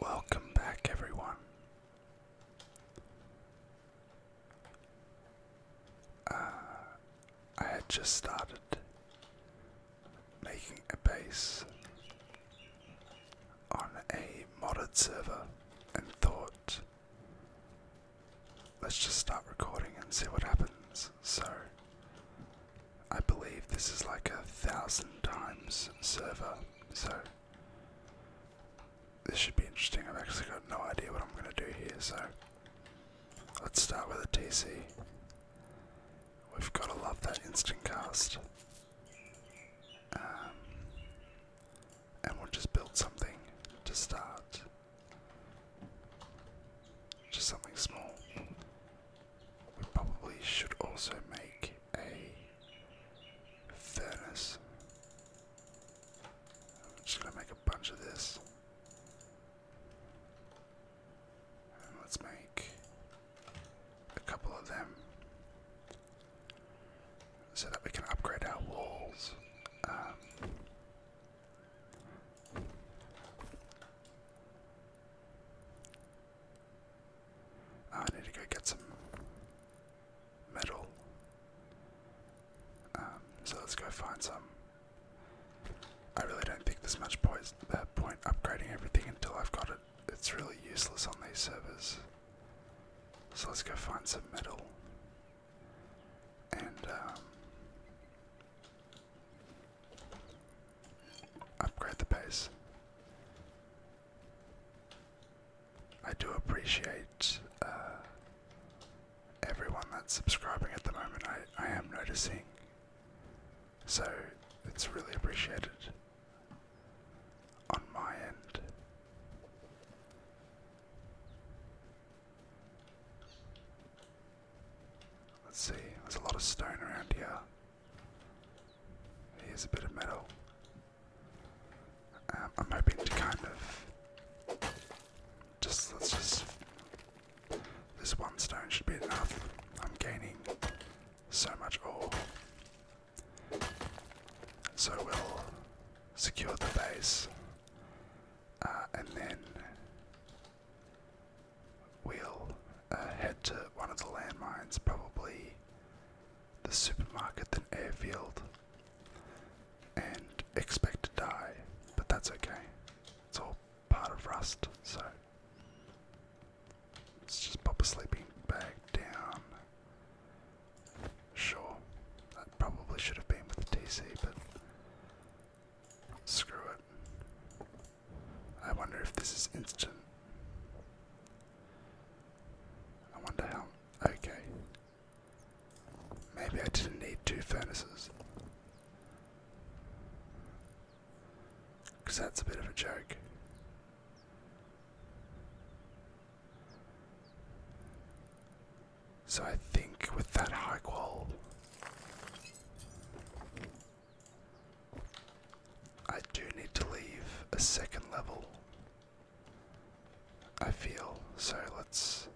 Welcome back, everyone. Uh, I had just started making a base on a modded server and thought let's just start recording and see what happens. So, I believe this is like a thousand times server, so this should be interesting. I've actually got no idea what I'm going to do here, so let's start with a TC. We've got to love that instant cast. Um, and we'll just build something to start. Just something small. We probably should also make a furnace. i make a bunch of this. let's make a couple of them so that we can upgrade our walls. Um, Ah, I need to go get some metal. Um, so let's go find some. I really don't think there's much point, uh, point upgrading everything until I've got it. It's really useless on these servers. So let's go find some metal and um, upgrade the base. I do appreciate uh, everyone that's subscribing at the moment. I, I am noticing, so it's really appreciated on my end. Let's see, there's a lot of stone around here. Here's a bit of metal. Um, I'm hoping to kind of just let's just this one stone should be enough. I'm gaining so much ore. So we'll secure the base uh, and then We'll uh, head to one of the landmines, probably the supermarket, then airfield, and expect to die, but that's okay. It's all part of Rust, so let's just pop a sleeping bag down. Sure, that probably should have been with the TC, but Screw it. I wonder if this is instant. I wonder how. Okay. Maybe I didn't need two furnaces. Because that's a bit of a joke. So I think with that high wall, I do need to leave a second level. I feel so. Let's.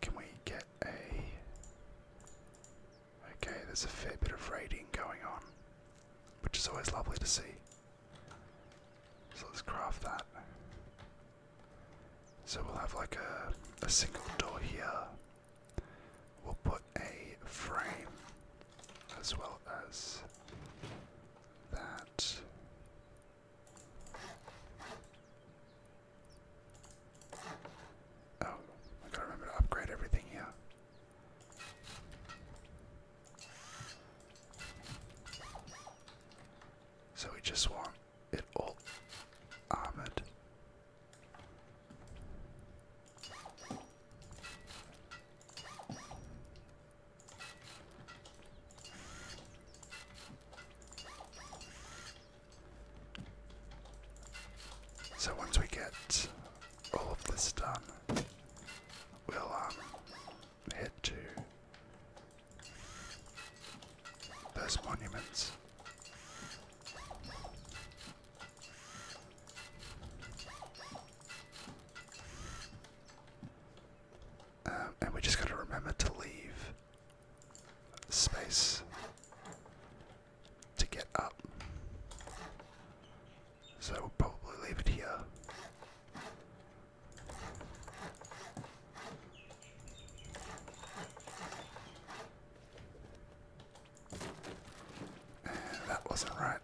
Can we get a. Okay, there's a fair bit of raiding going on, which is always lovely to see. So let's craft that. So we'll have like a, a single door here. We'll put a frame as well as that. Oh, I gotta remember to upgrade everything here. So we just want it all armored. So once we get all of this done, we'll um, head to those monuments. Um, and we just got to remember to leave space to get up. So we'll probably leave it here. That wasn't right.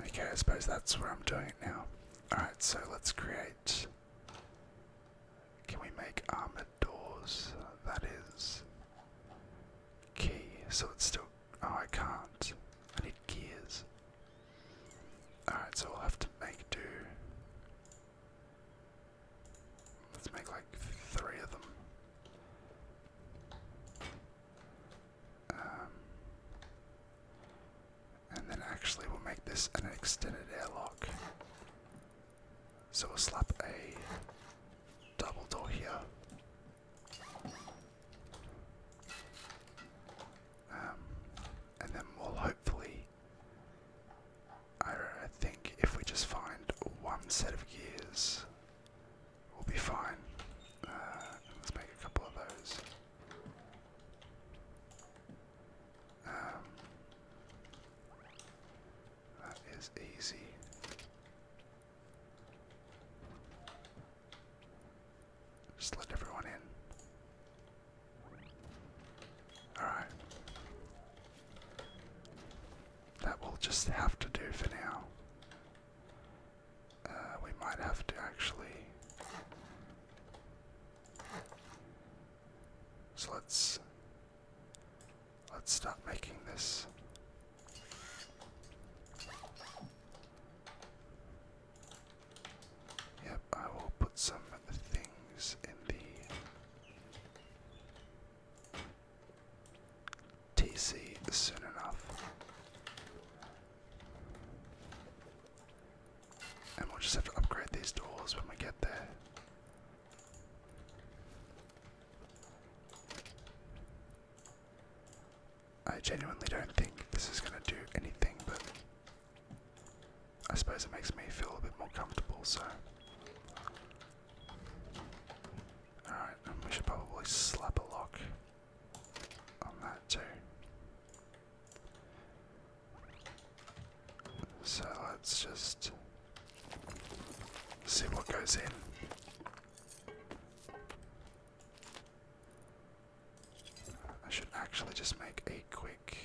Okay, I suppose that's where I'm doing it now. Alright, so let's create. Can we make armored doors? That is key. So it's still. Oh, I can't. I need gears. Alright, so we'll have to make do. Let's make like three of them. Um, and then actually we'll make this an extended airlock. So we'll slap a double door here. Um, and then we'll hopefully, I, think if we just find one set of gears, we'll be fine. Uh, let's make a couple of those. Um, that is easy. Just let everyone in. Alright. That will just have to do for now. Uh, we might have to actually. So let's let's start making this. Yep, I will put some things in the TC soon enough. And we'll just have to upgrade these doors when we get there. I genuinely don't think this is going to do anything, but I suppose it makes me feel a bit more comfortable, so. Alright, we should probably slap a lock on that too. So let's just see what goes in. I should actually just make a quick.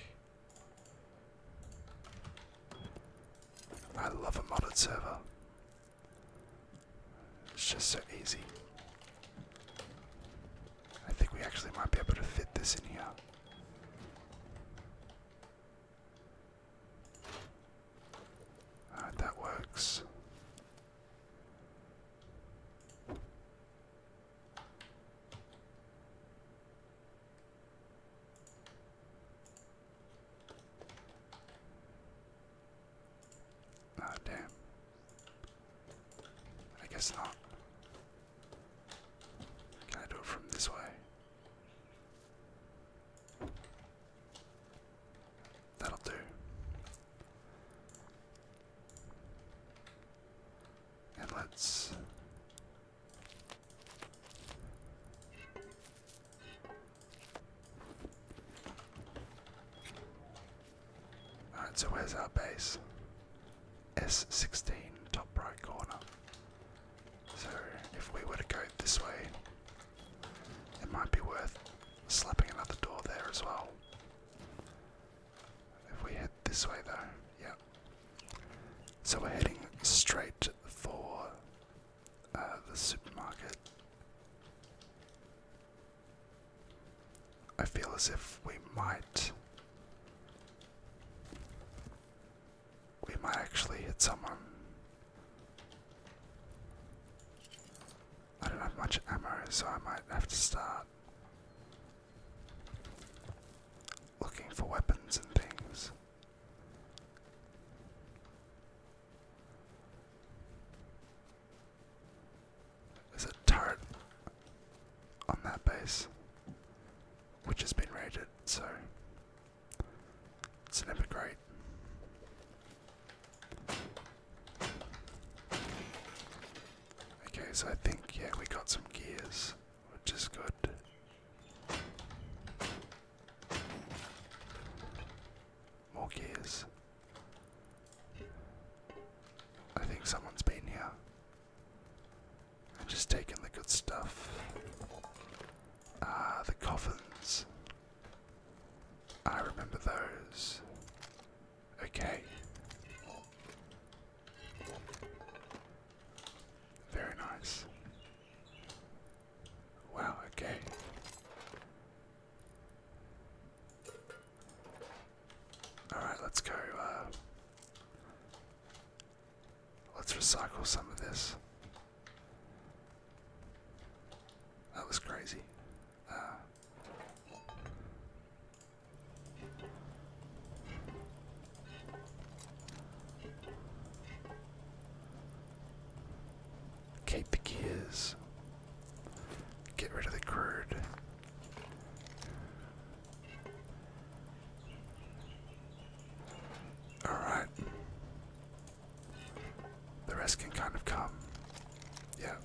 I love a modded server. It's just so easy. I think we actually might be able to fit this in here. Alright, that works. Ah, damn. I guess not. Can I do it from this way? That'll do. And let's. Uh, so where's our base? S16, top right corner. So if we were to go this way, it might be worth slapping another door there as well. If we head this way though, yeah. So we're heading straight for uh, the supermarket. I feel as if we might. We might actually hit someone. I don't have much ammo, so I might have to start looking for weapons and things. There's a turret on that base, which has been raided, so it's never great. Okay, so I think, yeah, we got some gears, which is good. More gears. I think someone's been here and just taking the good stuff. Ah, the coffins. I remember those. Okay. Very nice. Wow, okay. Alright, let's go. Uh, let's recycle some of this. That was crazy. Uh, keep the gears. Get rid of the crude. Alright. The rest can kind of come. Yeah.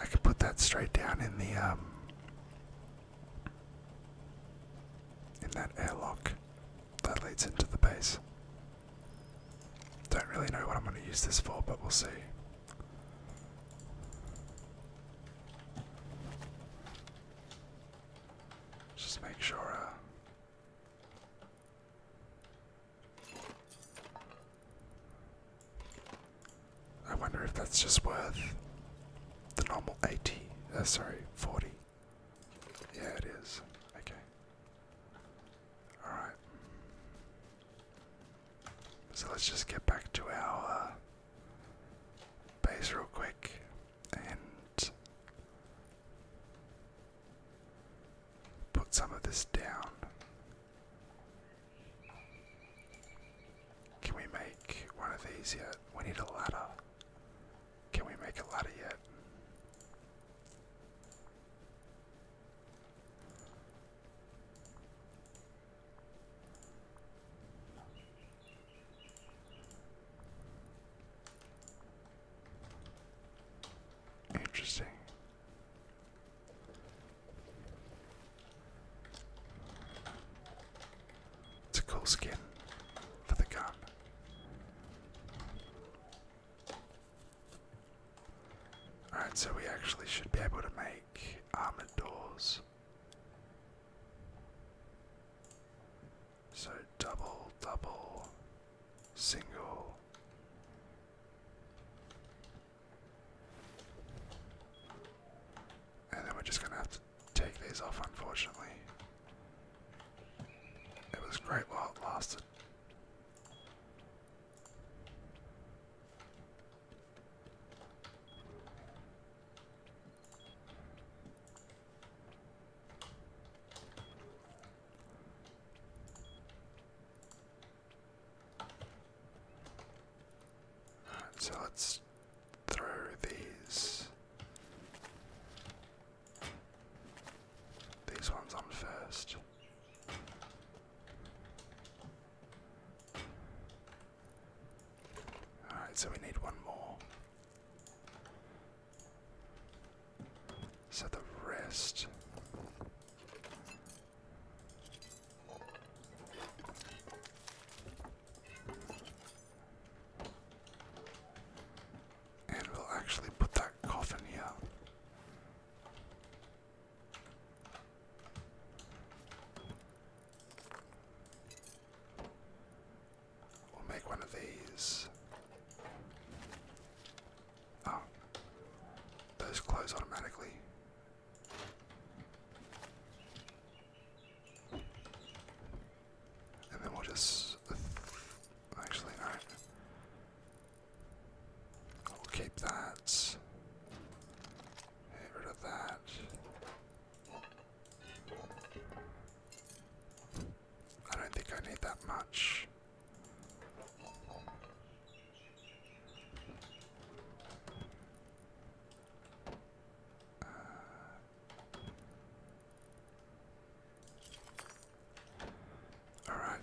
I could put that straight down in the um in that airlock that leads into the base. Don't really know what I'm going to use this for, but we'll see. Just make sure. Uh, I wonder if that's just worth the normal 80. Uh, sorry, 40. Yeah, it is. Okay. Alright. So let's just get back to our uh, base real quick and put some of this down. Can we make one of these yet? We need a ladder. Can we make a ladder yet? Interesting. It's a cool skin for the gun. Alright, so we actually should be able to make armored doors. So double, double, single. And then we're just going to have to take these off, unfortunately. It was great while it lasted. So let's throw these these ones on first. Alright, so we need one more. So the rest. And we'll actually put that coffin here. We'll make one of these. Oh, those close automatically. And then we'll just. Actually, no. We'll keep that. Get rid of that. I don't think I need that much. Uh, all right.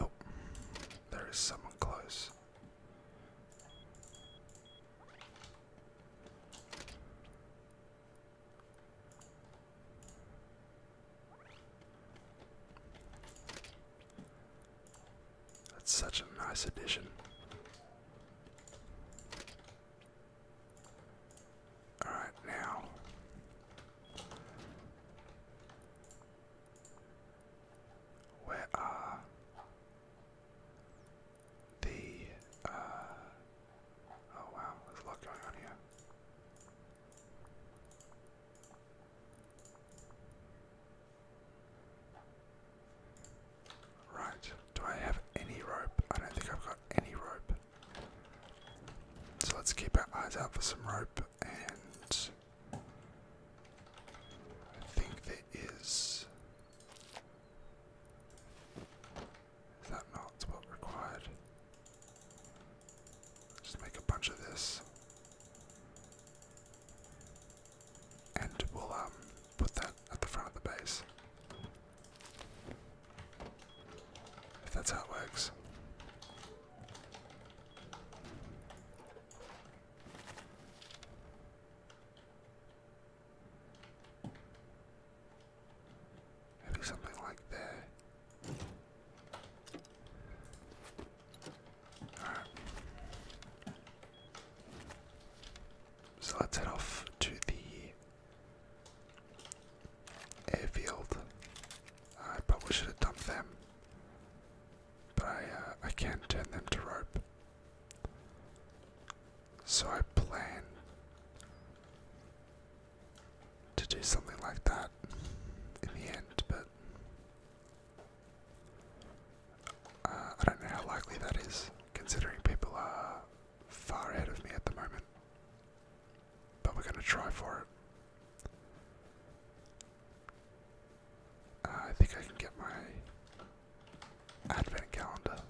Oh, there is someone close. That's such a nice addition. Alright, now. Where are the, uh, oh wow, there's a lot going on here. Right, do I have any rope? I don't think I've got any rope. So let's keep our eyes out for some rope and I think there is. Is that not what required? Just make a bunch of this. And we'll um put that at the front of the base. If that's how it works. Maybe something like there. Alright. So let's head off to the Airfield. I probably should have dumped them, but I uh, I can turn them to rope. So I plan to do something like that in the end, but uh, I don't know how likely that is, considering people are far ahead of me at the moment. But we're going to try for it. Uh, I think I can get my advent calendar.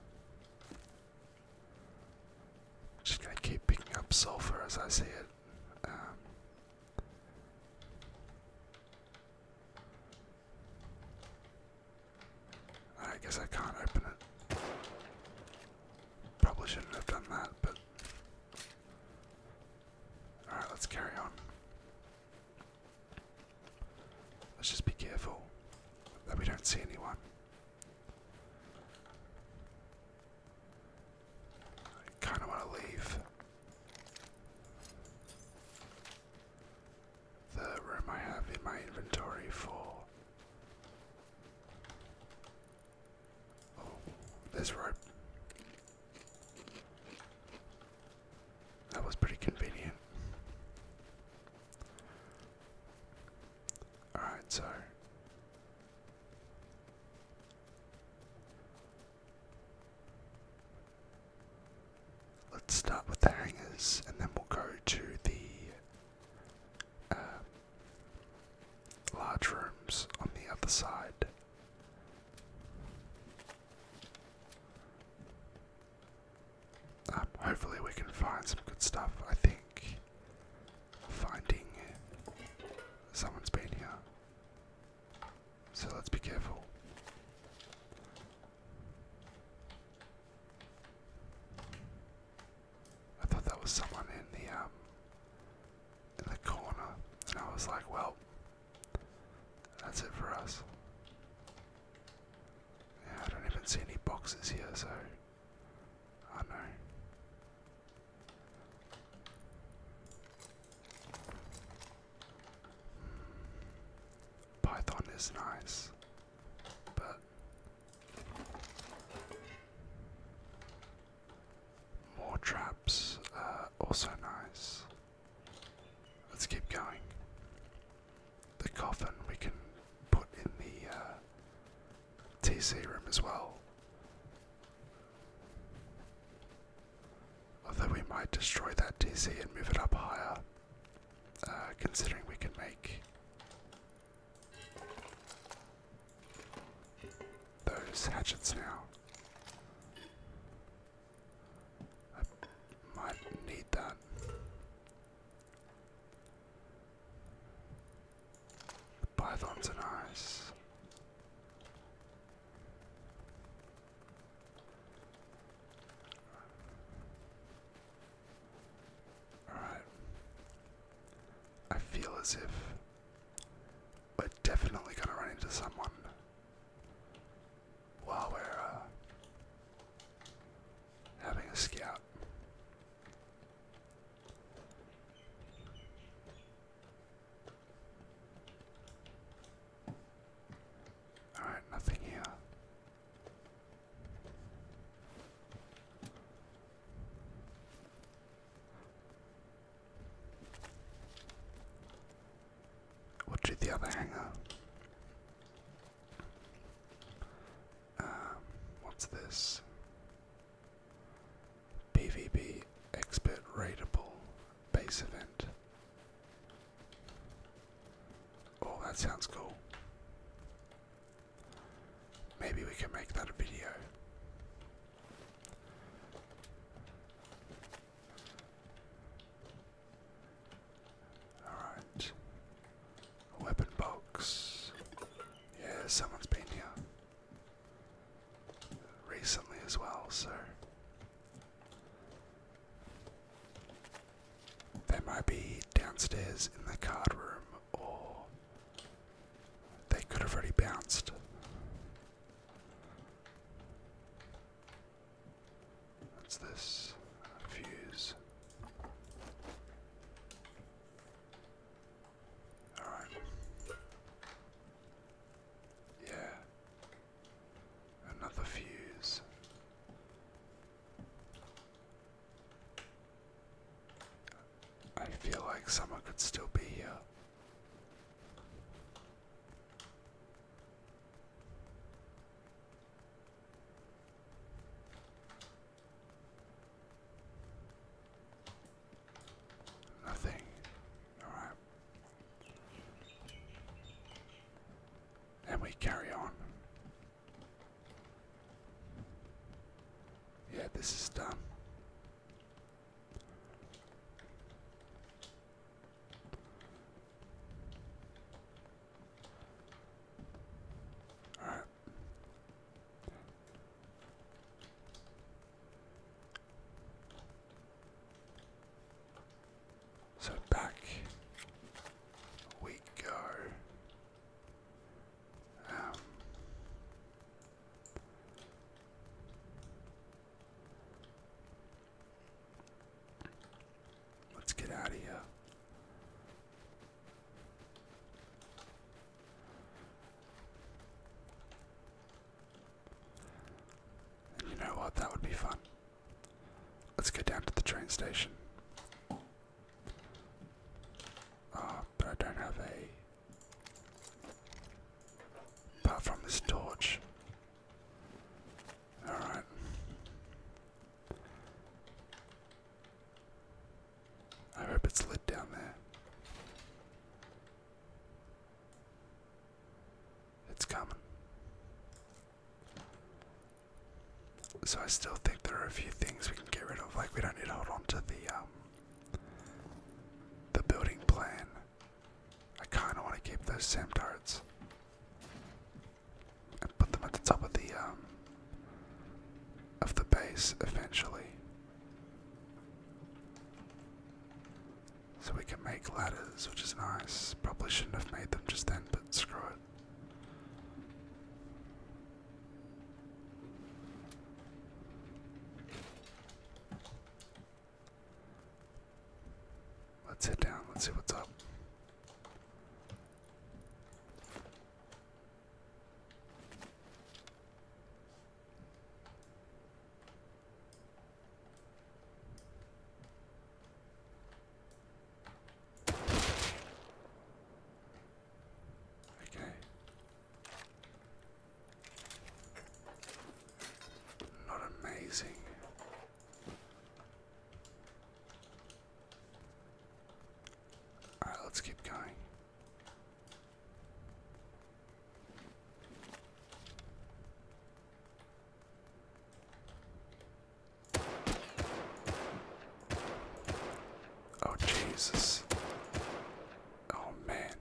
Just going to keep picking up sulfur as I see it. Um, I guess I can't open it. Probably shouldn't have done that, but. Alright, let's carry on. Let's just be careful that we don't see anyone. I kind of want to leave the room I have in my inventory for Oh, there's rope. That was pretty convenient. Alright, so. Let's start with the hangers and then we'll go to the uh, large rooms on the other side. Um, hopefully, we can find some good stuff. I think finding someone's been here. So let's be careful. I thought that was someone in the um in the corner, and I was like, well, that's it for us. I don't even see any boxes here, so I don't know. Hmm. Python is nice. But more traps also nice. Let's keep going. The coffin we can put in the uh, TC room as well. Although we might destroy that TC and move it up higher, uh, considering we can make those hatchets now. I might need that. Pythons are nice. Alright. I feel as if we're definitely gonna run into someone while we're uh, having a scout. Alright, nothing here. We'll the other hanger. Um, what's this? PvP expert rateable base event. Oh, that sounds cool. Maybe we can make that a video. Alright. Weapon box. Yeah, someone's been here. Recently as well, so. They might be downstairs in the card room or they could have already bounced. What's this? Fuse. Alright. Yeah. Another fuse. I feel like someone could still be here. Nothing. Alright. And we carry on. Yeah, this is done. All right. So back we go. Um, let's get out of here. you know what? That would be fun. Let's go down to the train station. Ah, but I don't have a Apart from this torch. Alright. I hope it's lit down there. It's coming. So I still think there are a few things we can get rid of, like we don't need to hold on to the um, the building plan. I kind of want to keep those Sam Tarts put them at the top of the um, of the base eventually. So we can make ladders, which is nice. Probably shouldn't have made them just then, but screw it. Let's sit down. Let's see what's up. Okay. Not amazing. Alright, let's keep going. Oh, Jesus. Oh man.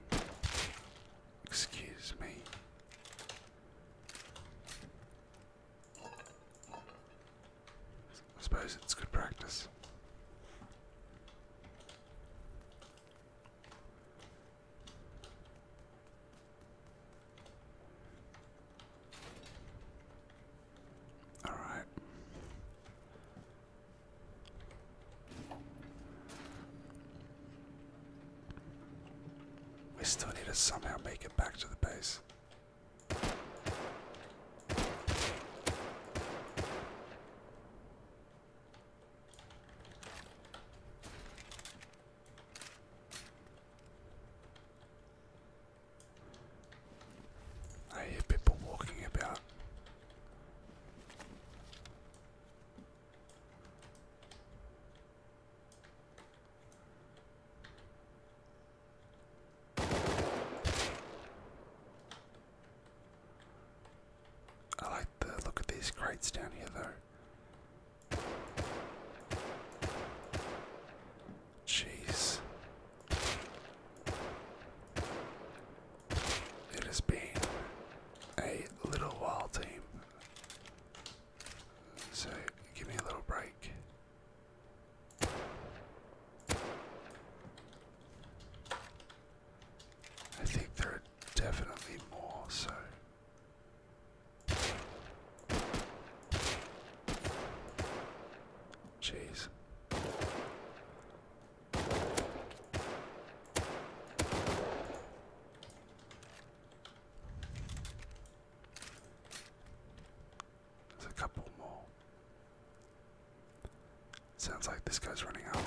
Excuse me. I suppose it's good practice. All right. We still need to somehow make it back to the base. I hear people walking about. I like the look of these crates down here, though. Jeez. It has been a little while, team. So give me a little break. I think there are definitely more, so. Jeez. There's a couple more. Sounds like this guy's running out.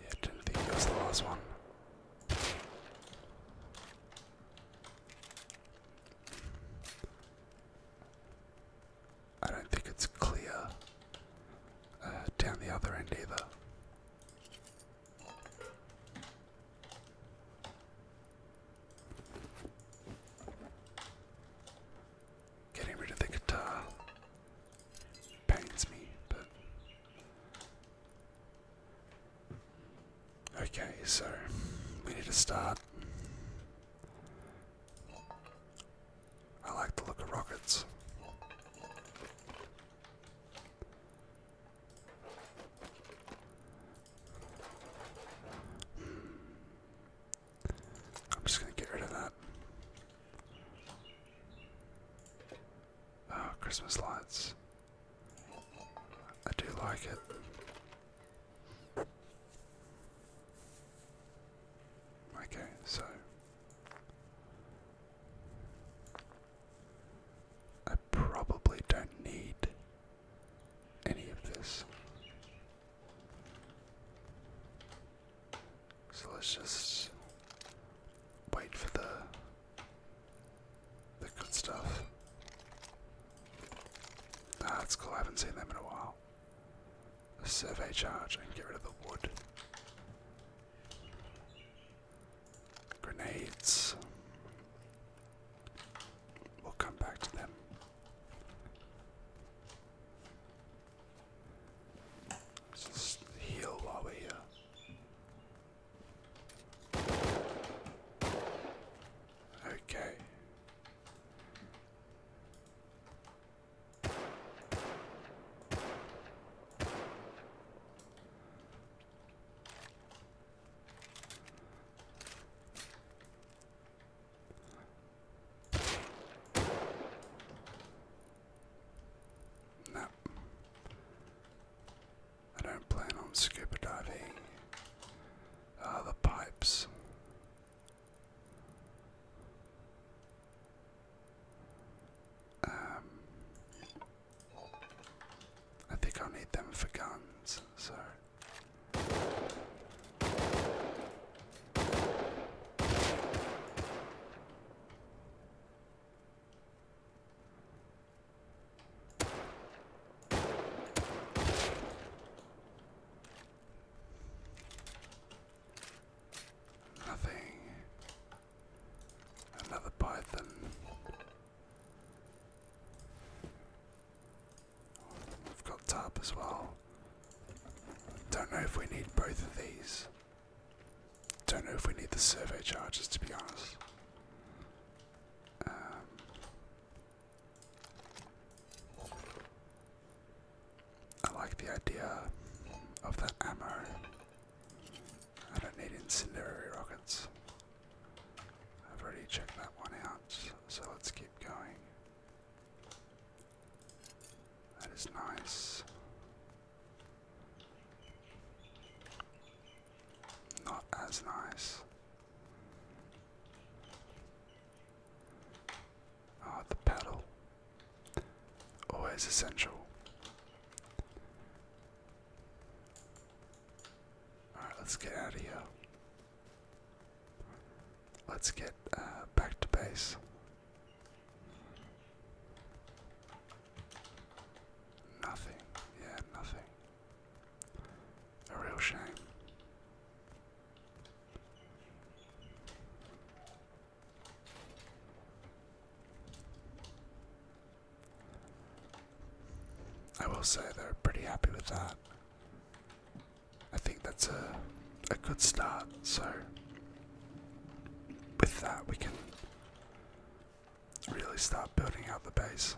Yeah, didn't think it was the last one. I don't think it's clear uh, down the other end either. Getting rid of the guitar pains me, but Okay, so we need to start. I like the look of rockets. Hmm. I'm just going to get rid of that. Oh, Christmas lights. I do like it. Okay, so I probably don't need any of this. So let's just wait for the the good stuff. that's cool. I haven't seen them in a while. A survey charge and get rid of the wood. Grenades. We'll come back to them. just heal while we're here. Okay. No. I don't plan on scuba diving. Ah, the pipes. Um, I think i need them for guns, so. Nothing. Another python. We've got tarp as well. Don't know if we need both of these. Don't know if we need the survey charges to be honest. Um, I like the idea of the ammo. I don't need incendiary rockets. I've already checked that one out, so let's keep going. That is nice. Not as nice. Ah, the paddle. Always oh, essential. Alright, let's get out of here. Let's get uh, back to base. Nothing. Yeah, nothing. A real shame. I will say they're pretty happy with that. I think that's a a good start. So with that we can really start building out the base.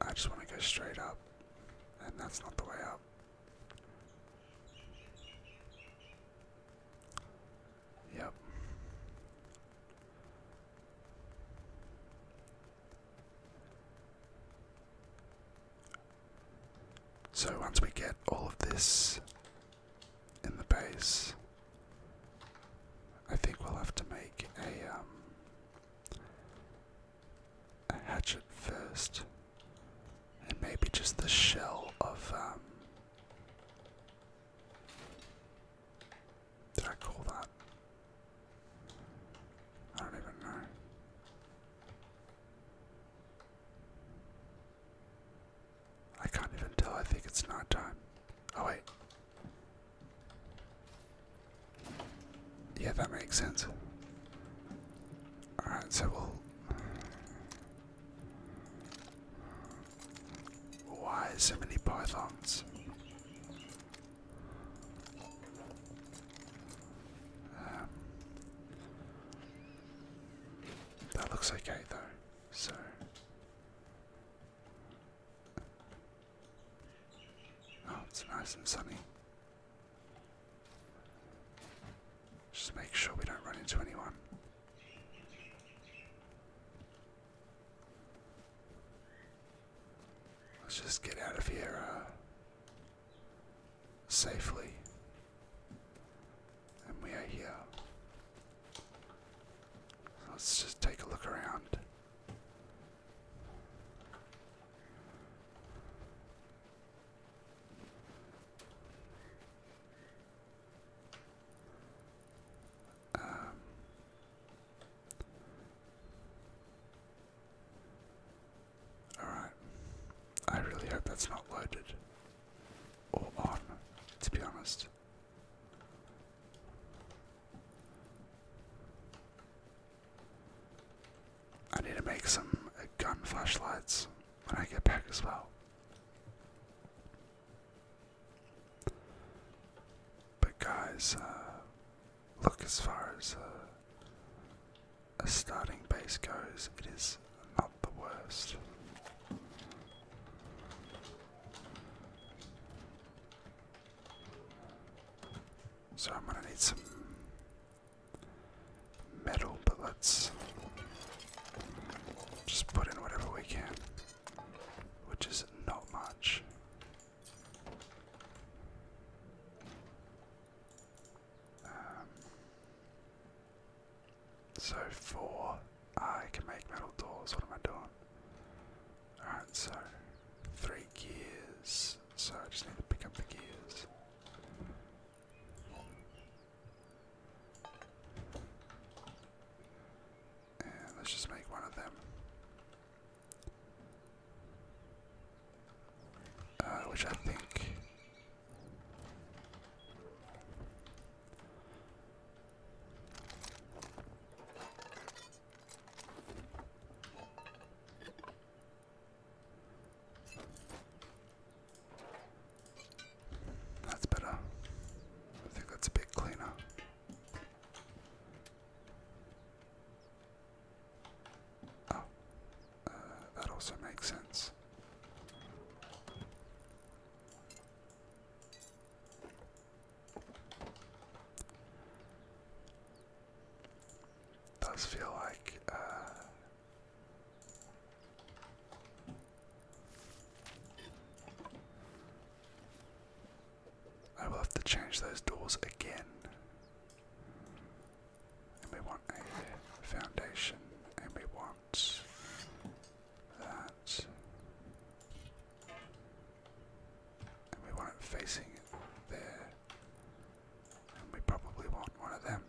I just want to go straight up, and that's not the way up. Yep. So once we get all of this in the base, I think we'll have to make a, um, a hatchet first, and maybe just the shell of. Um, did I call that? I don't even know. I can't even tell. I think it's not time. Oh, wait. Yeah, that makes sense. Alright, so we'll. Why so many pythons? Um, that looks okay though, so. Oh, it's nice and sunny. Just make sure we don't run into anyone. Let's just get out of here uh, safely. And we are here. let's just take a look around. Um, Alright. I really hope that's not loaded. Or on, to be honest. I need to make some uh, gun flashlights when I get back as well. But guys, uh, look as far as uh, as starting base goes, it is not the worst. So I'm going to need some metal bullets. Just put in whatever we can, which is not much. Um, so four. I can make metal doors. What am I doing? Alright, so three gears. So I just need to pick up the gears. let's just make one of them. Uh, which I think that's better. I think that's a bit cleaner. Oh, uh, that also makes sense. Does feel like uh, I will have to change those doors again. And we want a foundation, and we want that. we want it facing there. And we probably want one of them.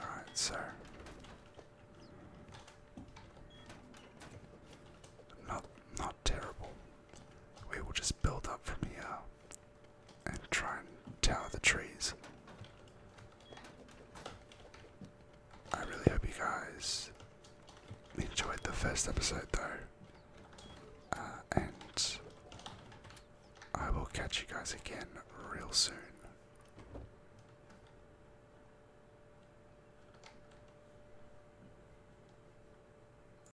Alright, so. Not not terrible. We will just build up from here and try and tower the trees. I really hope you guys enjoyed the first episode though. Uh, and I will catch you guys again real soon.